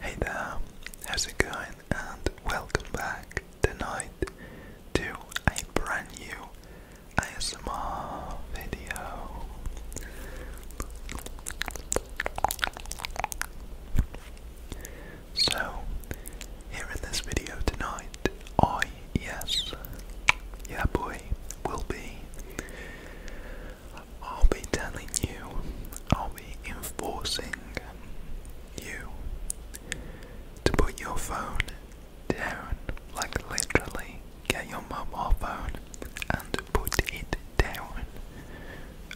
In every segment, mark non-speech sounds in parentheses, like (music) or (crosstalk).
Hey there, how's it going? And welcome back tonight to a brand new ASMR video. So, here in this video tonight, I, oh, yes. Yeah, boy, will be. I'll be telling you, I'll be enforcing you to put your phone down, like literally get your mobile phone and put it down.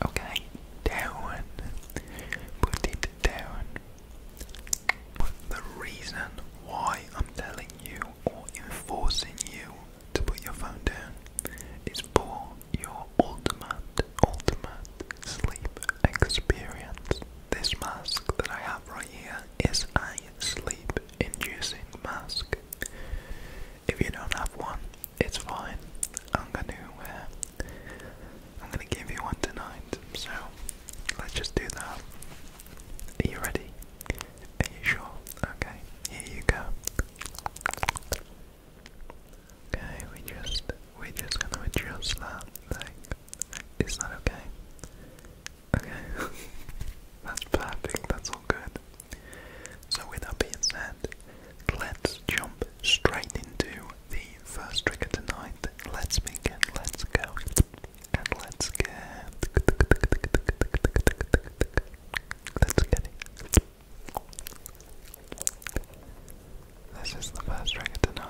Okay? Down. Put it down. But the reason why I'm telling you or enforcing you to put your phone down is for your ultimate, ultimate sleep experience. This mask that I have right here is a sleep inducing mask. If you don't have one, it's fine. I'm gonna, uh, I'm gonna give you one tonight. So Let's just do that. Are you ready? Are you sure? Okay, here you go. Okay, we just we're just gonna adjust that like is that okay? Okay. (laughs) that's perfect, that's all good. So with that being said, let's jump straight into the first trigger tonight. Let's begin, let's go. And let's get let's get it. This is the first record tonight.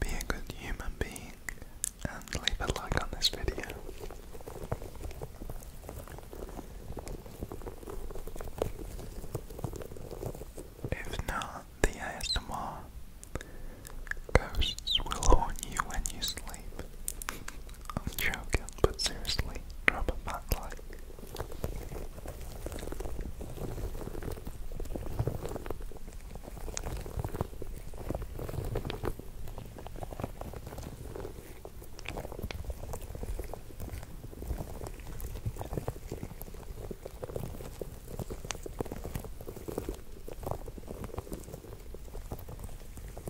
Be a good human being and leave a like on this video. If not, the ASMR ghosts will haunt you when you sleep. I'm joking, but seriously, drop a back like.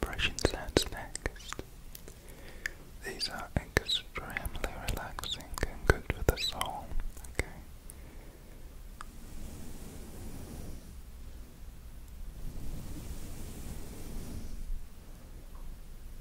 Brushing sounds next. These are extremely relaxing and good for the soul. Okay.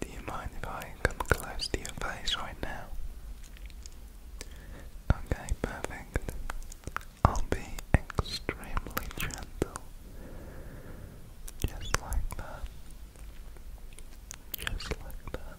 Do you mind if I come close to your face right now? Okay, perfect. I'll be extremely gentle. Just like that. Just like that.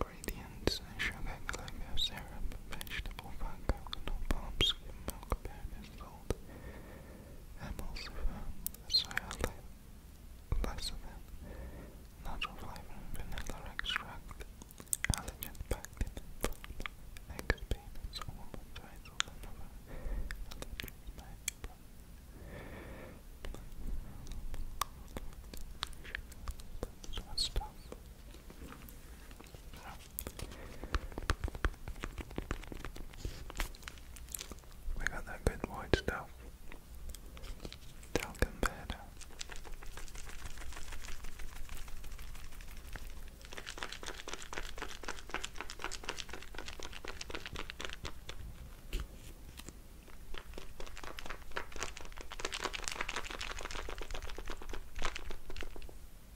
Ingredients: sugar, glucose, Arab vegetable fungi and palm skin milk berries, salt, emulsifier, soya lecithin, natural flavor, vanilla extract, allergen, pectin, eggs, peanuts, almonds, raisins, and other allergens we got that good white stuff. Talcum powder.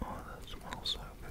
Oh, that smells so good.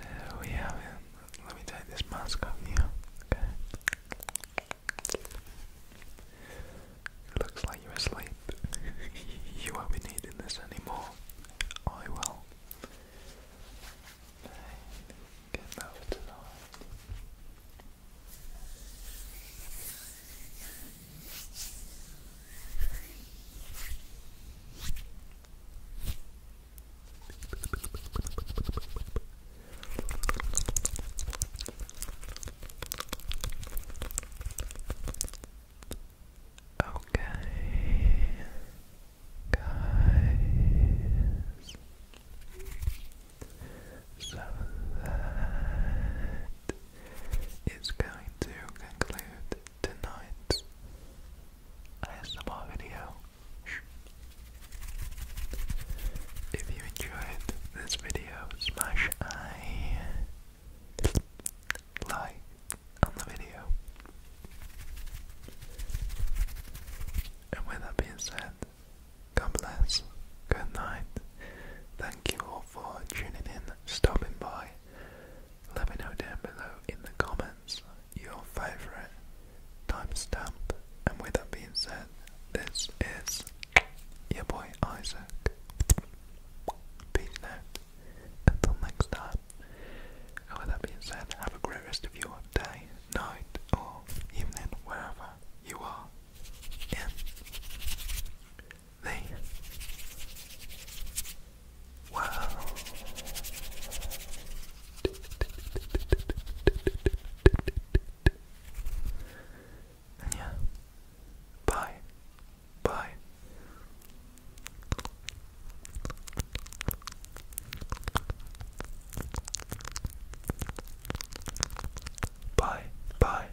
There we have it. Let me take this mask off here. looks like you're asleep. (laughs) you won't be needing this anymore. I will well. And get over to the Okay, guys. So that is going to conclude tonight's ASMR video. If you enjoyed this video, smash I like on the video. And with that being said, God bless, good night. Thank you all for tuning in, stopping by. Let me know down below in the comments your favourite timestamp. And with that being said, this is your boy Isaac. Peace out. Until next time. with that being said, have a great rest of your day, night, or evening, wherever you are in the world. yeah, bye. Bye. Bye.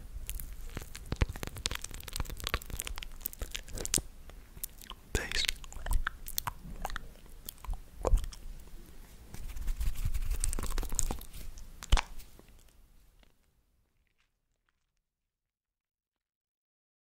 Peace.